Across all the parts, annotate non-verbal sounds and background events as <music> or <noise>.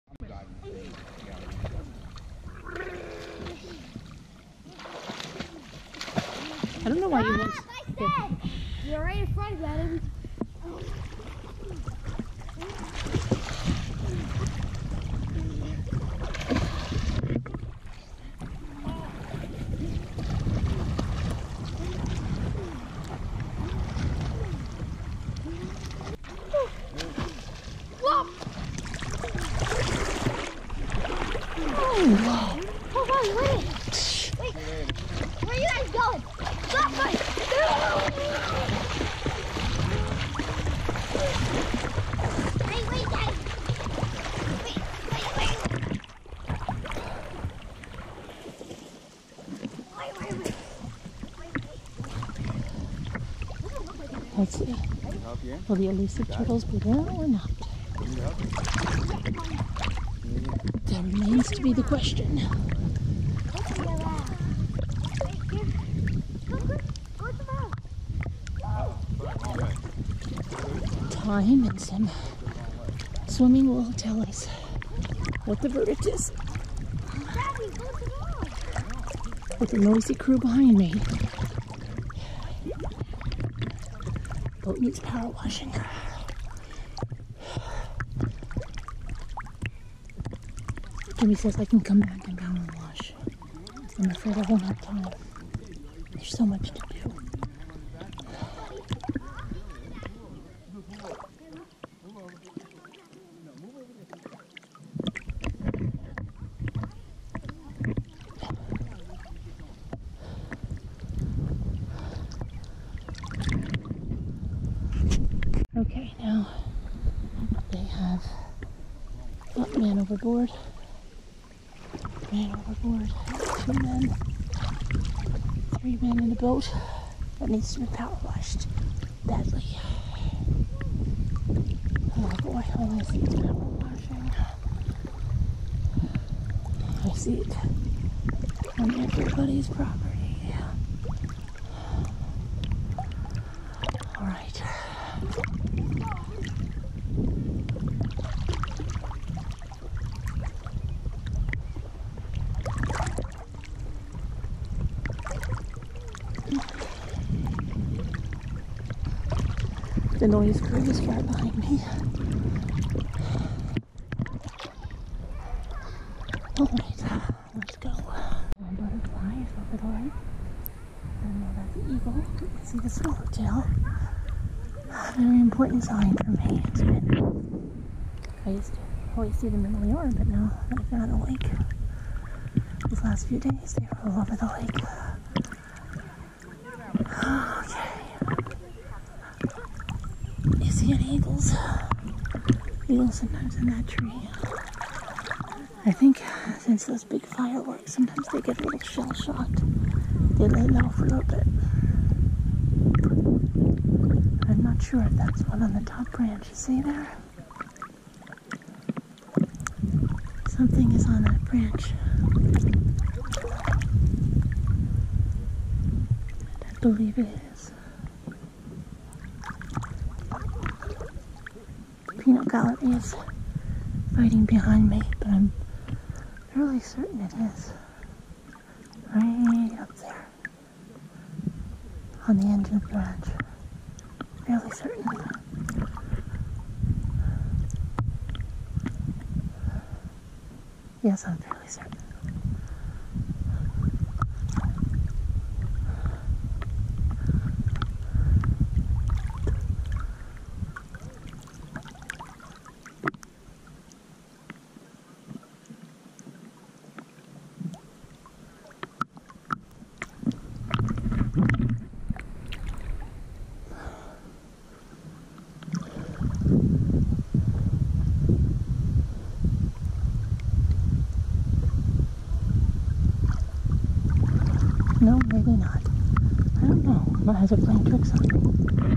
I don't know why you want. to. You're right in front of him. Whoa! Whoa! Hold on, wait! Wait! Where are you guys going? Stop us! Wait, wait, guys! Wait, wait, wait! Let's see. Will the elusive turtles be there or not? That remains to be the question. Time and some swimming will tell us what the verdict is with the noisy crew behind me. Boat needs power washing. Jimmy says I can come back and down and wash. I'm afraid I won't have time. There's so much to do. Okay, now they have not oh, man overboard, man overboard, two men, three men in the boat that needs to be power washed badly. Oh boy, all I see is power washing. I see it on everybody's property. Yeah. All right. The noise crew is right behind me. Alright, let's go. One butterfly is over the right. And now that's an eagle. You can see the swallowtail. Very important sign for me. I used to always see them in the Leora, but now they're on the lake, these last few days they are all over the lake. <gasps> Okay. You see any eagles? Eagles sometimes in that tree. I think since those big fireworks, sometimes they get a little shell shot. They lay low for a little bit. I'm not sure if that's one on the top branch. You see there? Something is on that branch. I believe it is peanut gallery is fighting behind me, but I'm really certain it is. Right up there on the end of the branch. Really certain Yes, I'm fairly certain. No, maybe not. I don't know. My Has it playing tricks on me?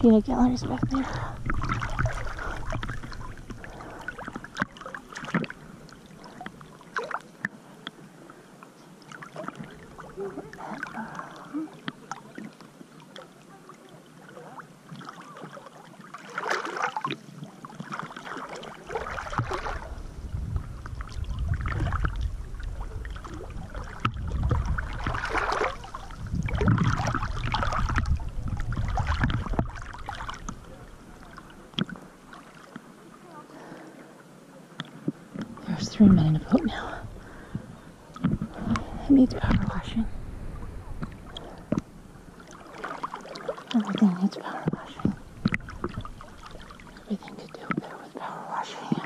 Peanut galleries back there. There's three men in a boat now. It needs power washing. Everything needs power washing. Everything to do better with power washing.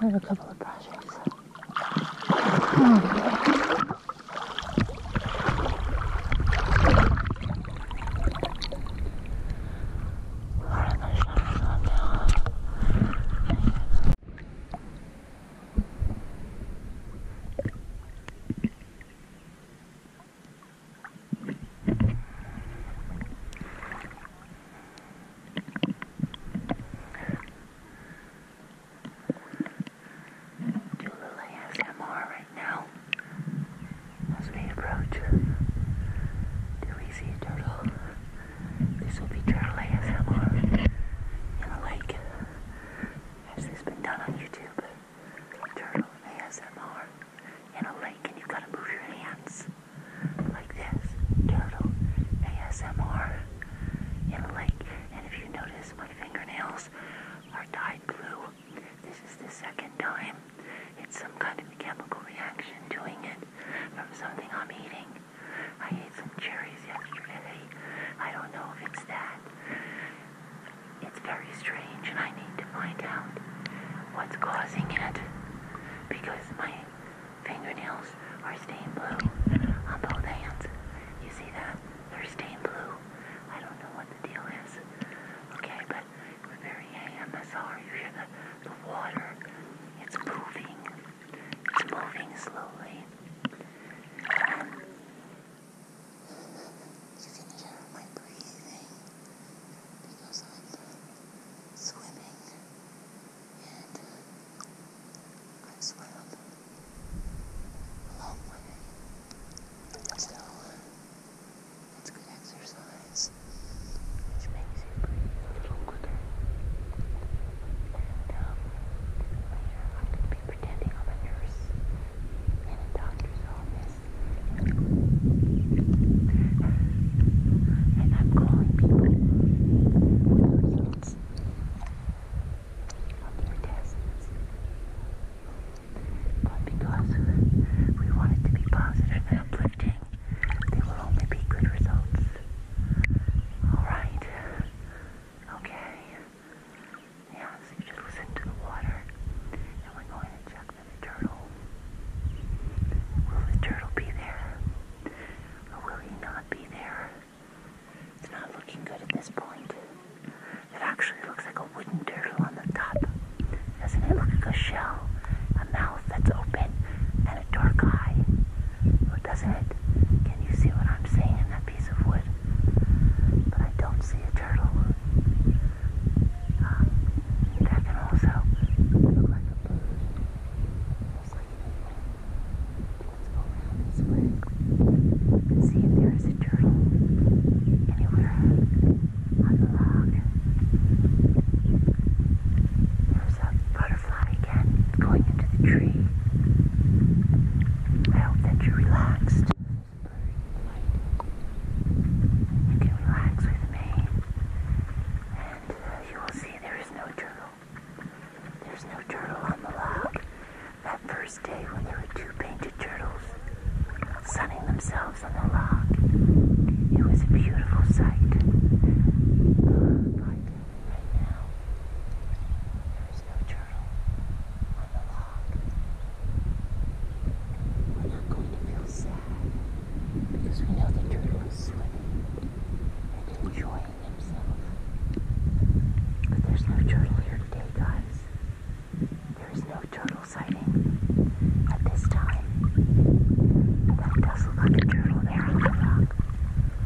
I have a couple of projects. Oh, yeah. Do a little ASMR right now as we approach. Do we see a turtle? This will be turtle ASMR in a lake, as has been done on YouTube. Journal ASMR in a lake, and you've got to move your hands like this. Turtle ASMR in a lake. And if you notice, my fingernails are dyed blue. This is the second time. It's some kind of chemical reaction doing it from something I'm eating. I ate some cherries yesterday. I don't know if it's that. It's very strange, and I need to find out what's causing it because my fingernails are stained blue on both hands. You see that? They're stained blue. I don't know what the deal is. Okay, but we're very AM. you hear the, the water. It's moving. It's moving slowly. you can hear my breathing because I'm swimming and I swam a long way. So it's good exercise. It's a little quicker. And later I'm going to be pretending I'm a nurse in a doctor's office. and I'm calling people But because we wanted to be positive and uplifting, they will only be good results. Alright. Okay. Yeah, you just listen to the water. And we're going to check for the turtle. Will the turtle be there? Or will he not be there? It's not looking good at this point. It actually looks like a wooden turtle on the top. Doesn't it look like a shell? A mouth that's open and a dark eye. Well, oh, doesn't it? Can you see what I'm seeing in that piece of wood? But I don't see a turtle. Um, that can also look like a bird. Let's go around its legs and see if there is a turtle anywhere on the log. There's a butterfly butterfly again going into the tree. I hope that you're relaxed. You can relax with me, and uh, you will see there is no turtle. There's no turtle on the log. That first day when there were two painted turtles sunning themselves on the log, it was a beautiful sight. Right now, there's no turtle on the log. We're not going to feel sad because we know the turtle is swimming and enjoying himself. But there's no turtle here today, guys. There is no turtle sighting at this time. That does look like a turtle there on the rock.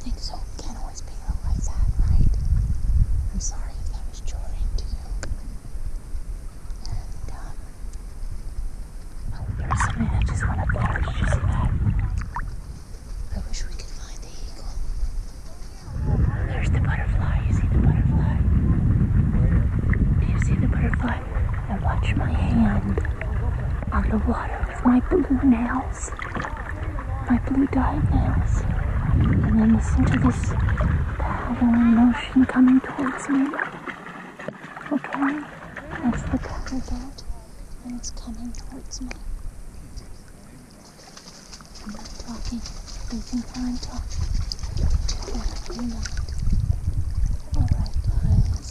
Things so can't always be like that, right? I'm sorry if that was jarring to you. And, um, well, oh, personally, I just want to acknowledge just I wish we could find the eagle. There's the butterfly. You see the butterfly? Do you see the butterfly? I watch my hand on the water with my blue nails my blue dyed nails, and then listen to this powerful motion coming towards me. Okay, that's the paddle boat, and it's coming towards me. i talking. talking. Alright, guys.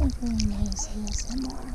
It really nice here some more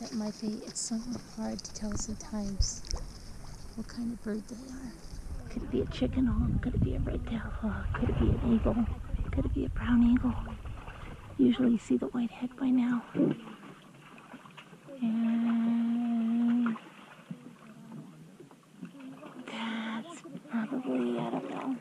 that might be, it's so hard to tell sometimes what kind of bird they are. Could it be a chicken hawk? Could it be a red tail hawk? Could it be an eagle? Could it be a brown eagle? Usually you see the white head by now that's probably, I don't know.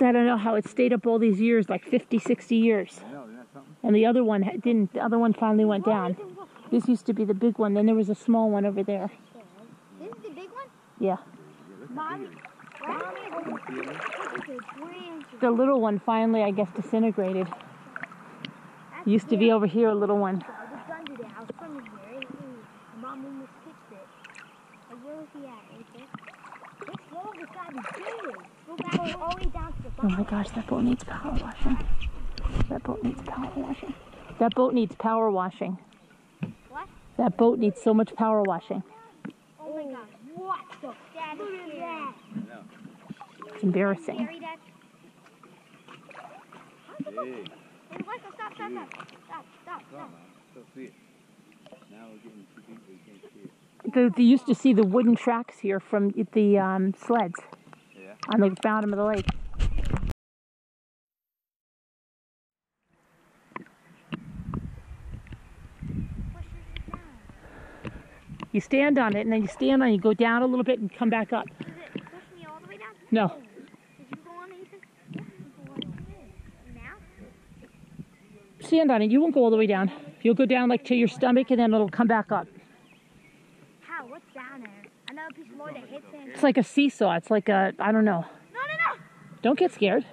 I don't know how it stayed up all these years, like 50, 60 years. And the other one didn't. The other one finally went down. This used to be the big one. Then there was a small one over there. This the big one? Yeah. the little one finally, I guess, disintegrated. Used to be over here, a little one. Oh my gosh, that boat needs power washing. That boat needs power washing. That boat needs power washing. That boat needs so much power washing. Oh my God! what the Dad, look that. It's embarrassing they used to see the wooden tracks here from the um, sleds on the bottom of the lake. You stand on it, and then you stand on it, you go down a little bit and come back up. No. Stand on it. You won't go all the way down. You'll go down like to your stomach, and then it'll come back up. It's like a seesaw. It's like a, I don't know. No, no, no! Don't get scared.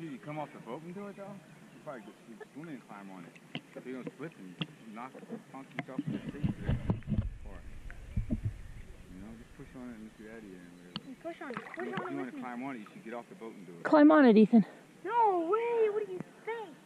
Did you come off the boat and do it, though? You probably just you swim and climb on it. you're going to slip and knock yourself in the seat. Or, you know, just push on it and get out of here. push on it. you want to climb on it, you should get off the boat and do it. Climb on it, Ethan. No way! What do you think?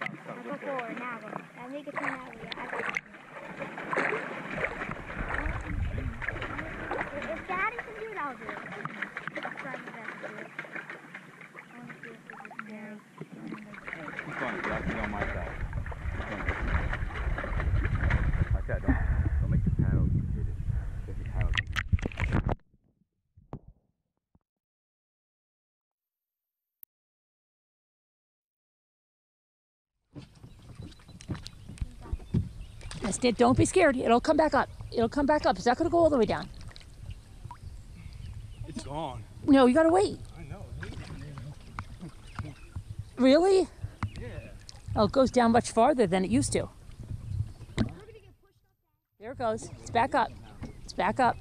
I'll go forward now. I'll make a turn that way. I got it. If Daddy can do it, I'll do it. I'll try my best to do it. I want to see if this is there. Keep going, you have to be on my side. Like that, don't, don't make the paddle. You hit it. Get the paddle. Don't be scared. It'll come back up. It'll come back up. It's not going to go all the way down. It's gone. No, you got to wait. I know. really? Yeah. Oh, it goes down much farther than it used to. There it goes. It's back up. It's back up.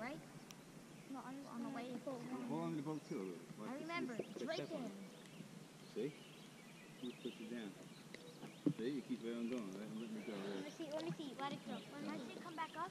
right? No, I was on the way to the boat. the boat too, I remember. right See? You push it down. See? You keep going, Let me see. Let me see. Let it go. When it come back up.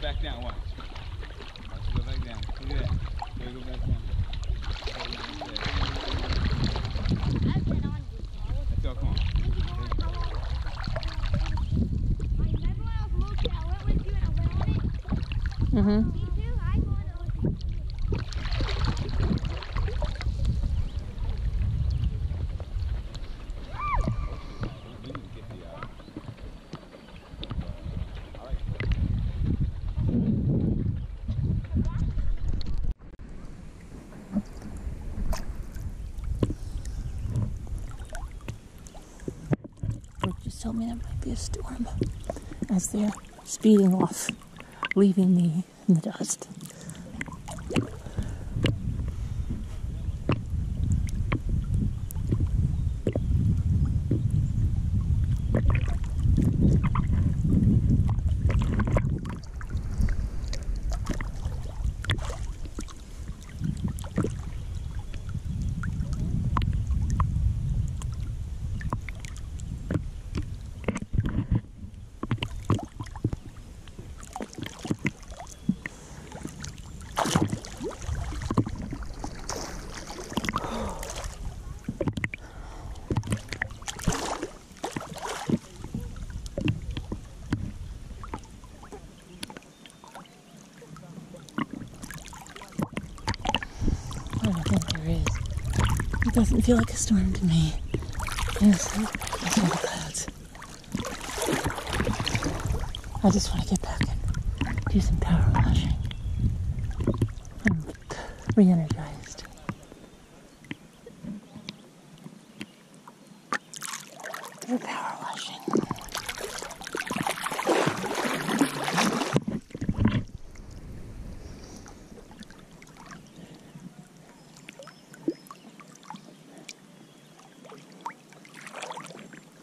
back down. Watch. Watch it go back down. Look at that. There it go back down. That's all. Come on. Mm-hmm. Just told me there might be a storm as they're speeding off, leaving me away in the dust. I don't think there is. It doesn't feel like a storm to me. Yes, I saw clouds. I just want to get back and do some power washing. I'm re energized. Do power washing.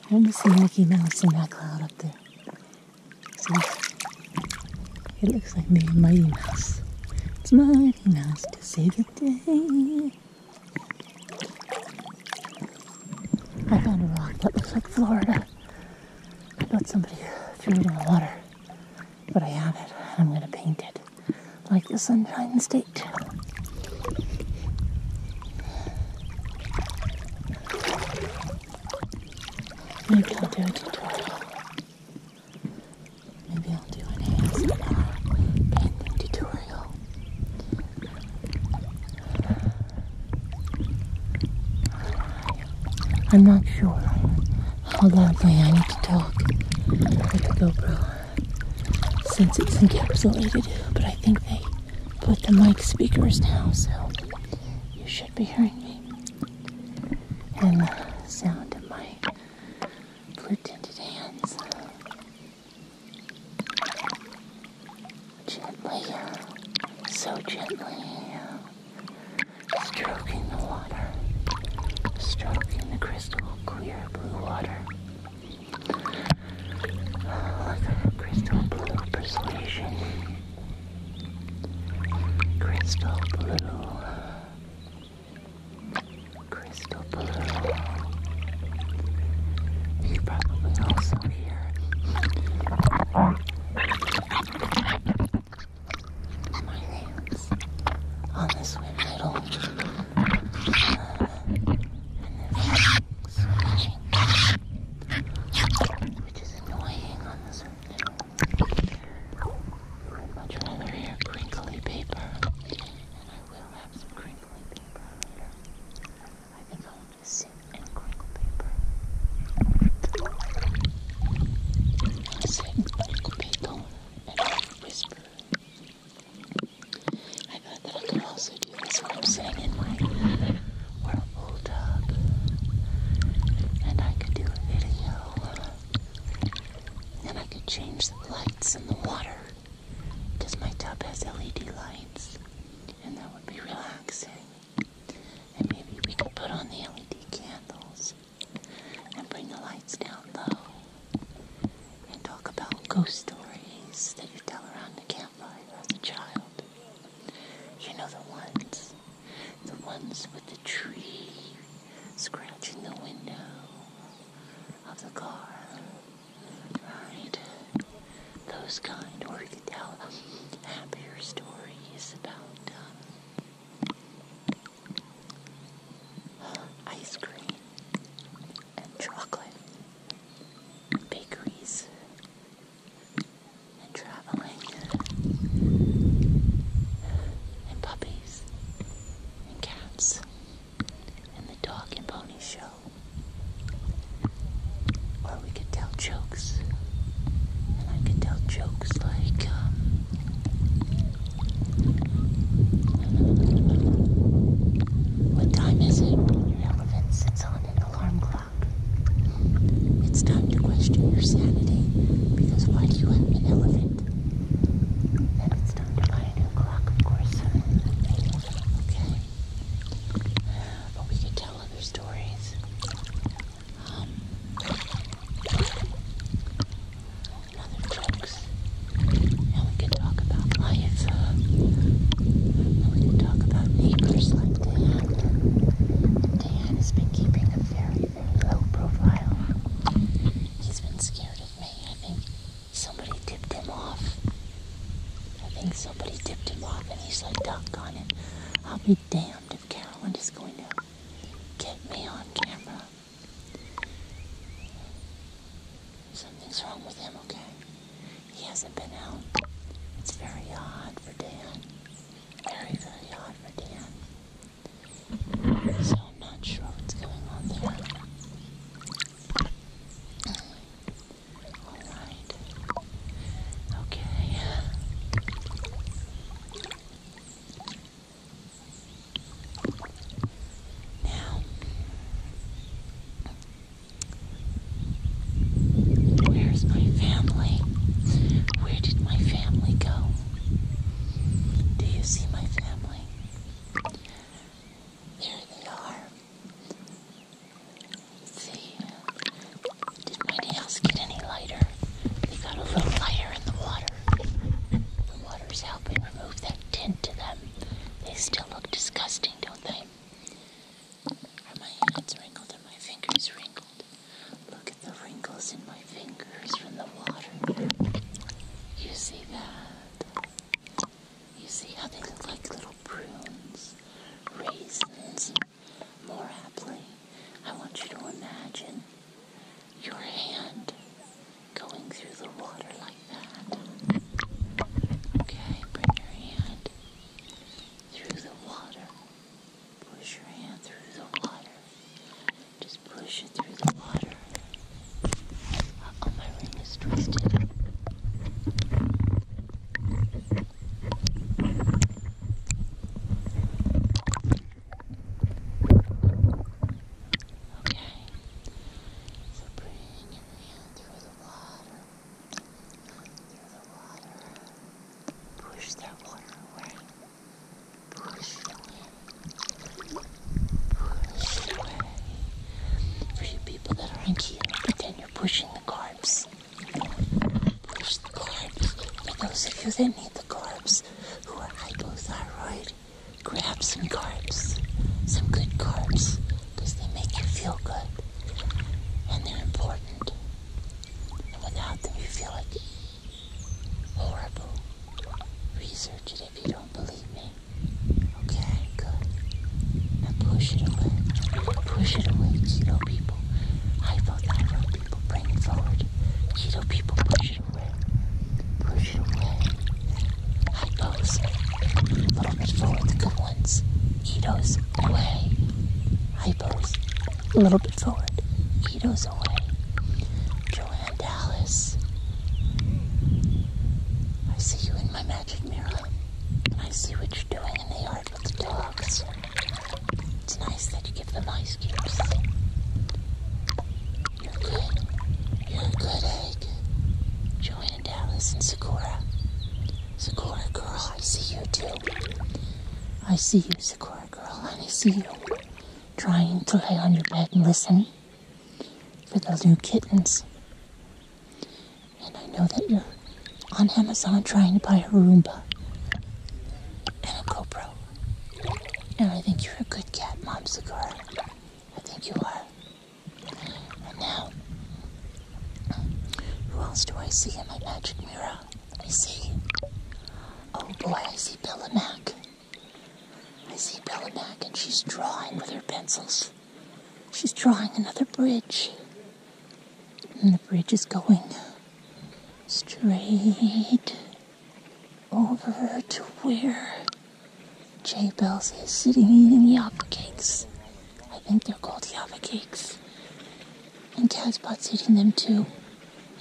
I almost see Mickey Mouse in that cloud up there. So it looks like the Mighty Mouse. It's Mighty nice to see the day. I found a rock that looks like Florida. I thought somebody threw it in the water. But I have it. and I'm going to paint it like the Sunshine State. Maybe I'll do a tutorial. Maybe I'll do an ASMR painting tutorial. I'm not sure. Hold on, I need to talk with the GoPro since it's encapsulated. But I think they put the mic speakers now, so you should be hearing me and the sound of my blue tinted hands. Gently, uh, so gently. Uh, stroking the water, stroking the crystal clear blue water. Like a crystal blue persuasion. Crystal blue. Crystal blue. You probably also hear my nails on this weird little which is annoying I would rather have crinkly paper, and I will have some crinkly paper I think I'll just sit and crinkle paper. Sit and crinkle paper whisper. I thought that I could also do this while I'm sitting in my whirlpool tub. And I could do a video. And I could change the lights in the water. my tub has LED lights. And that would be relaxing. And maybe we could put on the LED candles and bring the lights down low and talk about ghost stories that you tell around the campfire as a child. You know the ones, the ones with the tree scratching the window of the car, right? Those kind, or you could tell happier stories about um, ice cream and chocolate, bakeries and traveling and puppies and cats and the dog and pony show. Or we could tell jokes. And I can tell jokes like, um, what time is it? Your elephant sits on an alarm clock. It's time to question your sanity, because why do you have an elephant? And it's time to buy a new clock, of course. Okay. But we could tell other stories. Um, other jokes. And we can talk about life. And we can talk about neighbors like Dan. And has been keeping a very, very low profile. He's been scared of me. I think somebody tipped him off. I think somebody tipped him off and he's like, doggone I'll be damned if Carolyn is going to get me on camera. Something's wrong with him, okay? He hasn't been out. It's very odd for Dan. Very, very odd for Dan. So I'm not sure what's going on there. Alright. Okay where's my family? Where did my family go? Do you see my family? There they are. See, did my nails get any lighter? They got a little lighter in the water. The water's helping remove that tint to them. They still look disgusting, don't they? my hands wrinkled? Are my fingers wrinkled? Look at the wrinkles in my fingers from the water. You see that? You see how they look like little prunes, raisins, more aptly. I want you to imagine your hand going through the water like that. Okay, bring your hand through the water. Push your hand through the water. Just push it through the water. oh, my ring is twisted. Okay, so bring your hand through the water, through the water, push that water away, push it away, push it away. For you people that are on Q, pretend you're pushing the carbs. Push the carbs. For those of you that need the carbs, those who are hypothyroid, grab some carbs, some good carbs, they make you feel good and they're important. And without them, you feel like horrible. Research it if you don't believe me. Okay, good. Now push it away. Push it away, keto people. Hypothyroid people bring it forward. Keto people push it away. Push it away. High A little bit forward, good ones. Keto's away. Hypos. A little bit forward. Keto's away. Joanne Dallas. I see you in my magic mirror. And I see what you're doing in the yard with the dogs. It's nice that you give them ice cubes. You're good. You're a good egg. Joanne Dallas and Sakura. Sakura girl, I see you too. I see you, Sakura girl, I see you trying to lay on your bed and listen for the new kittens. And I know that you're on Amazon trying to buy a Roomba and a GoPro. And I think you're a good cat, Momsicar. I think you are. And now, who else do I see in my magic mirror? Let me see. Oh boy, I see Bella Mac. I see Bella Mac, and she's drawing with her pencils. She's drawing another bridge. And the bridge is going straight over to where Jay Bells is sitting eating Java cakes. I think they're called Java cakes. And Casbot's eating them too.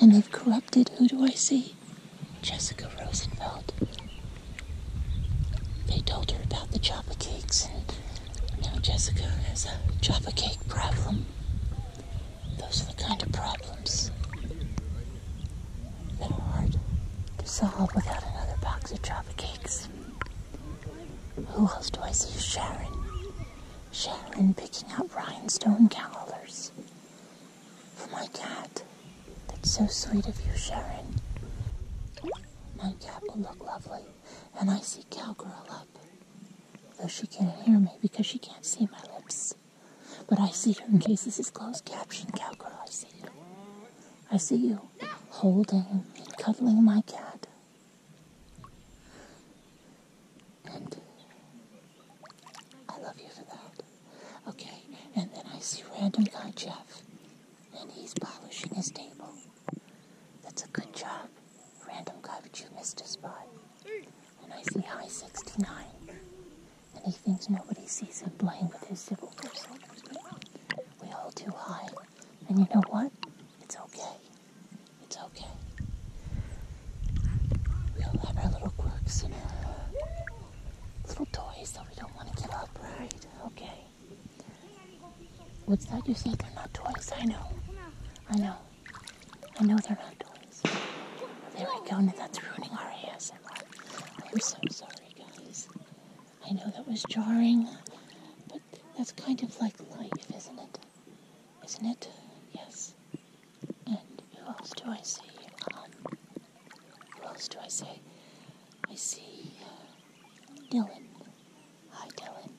And they've corrupted, who do I see? Jessica Rosenfeld. They told her about the Java cakes, and now Jessica has a Java cake problem. Those are the kind of problems that are hard to solve without another box of chocolate cakes. Who else do I see? Sharon. Sharon picking out rhinestone collars for oh my cat. That's so sweet of you, Sharon. My cat will look lovely, and I see cowgirl up, though she can't hear me because she can't see my lips. But I see her in case this is closed caption, cowgirl. I see you. I see you holding and cuddling my cat. And I love you for that. Okay, and then I see random guy Jeff, and he's polishing his table. That's a good job. Random guy, but you missed a spot. And I see High 69. And he thinks nobody sees him playing with his civil person. We all do high. And you know what? It's okay. It's okay. We all have our little quirks and our little toys so we don't want to give up, right? Okay. What's that you said? They're not toys. I know. I know. I know they're not toys. There we go, and that's ruining our ASMR. I'm so sorry, guys. I know that was jarring, but that's kind of like life, isn't it? Isn't it? Yes. And who else do I see? Um, who else do I see? I see uh, Dylan. Hi, Dylan.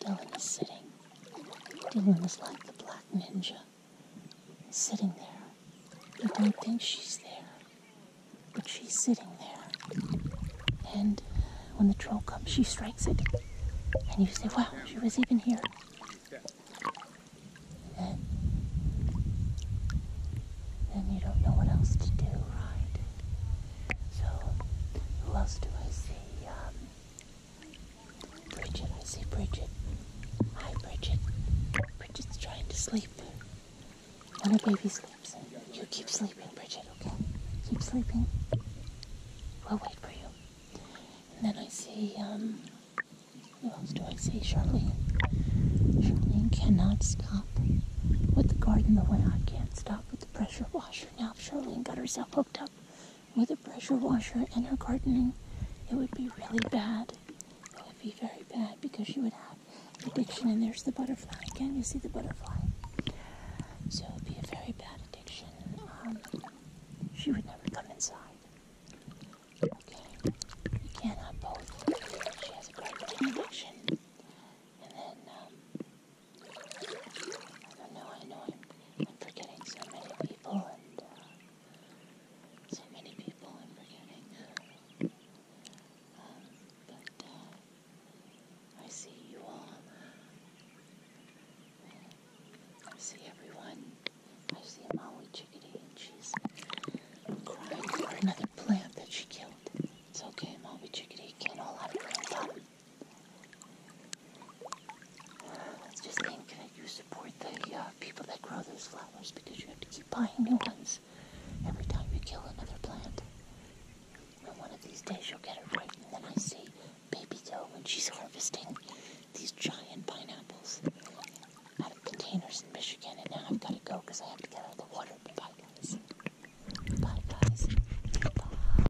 Dylan is sitting. Dylan is like the black ninja, sitting there. You don't think she's there, but she's sitting there. And when the troll comes, she strikes it. And you say, wow, she was even here. And then you don't know what else to do, right? So, who else do I see? Um, Bridget, I see Bridget. Hi, Bridget. Bridget's trying to sleep. When her baby sleeps, you keep sleeping, Bridget, okay? Keep sleeping. We'll wait for you. And then I see, um, who else do I see? Charlene. Charlene cannot stop with the garden the way I can't stop with the pressure washer. Now, if Charlene got herself hooked up with a pressure washer and her gardening, it would be really bad. It would be very bad because she would have addiction. And there's the butterfly again. You see the butterfly. So it would be a very bad addiction. Um, she would never come inside. Okay, you both. She has a gardening addiction, and then um, I know, I know, I'm, I'm forgetting so many people, and uh, so many people I'm forgetting. Um, but uh, I see you all. I see everyone. I see Molly Chickadee, and she's crying for another plant that she killed. It's okay, Molly Chickadee can't hold have her it's just think that you support the uh, people that grow those flowers because you have to keep buying new ones every time you kill another plant. And one of these days you'll get it right, and then I see Baby Doe when she's harvesting these giant pineapples out of containers in Michigan, and now I've got to go because I have to get out of the water. Bye, guys. Bye, guys. Bye.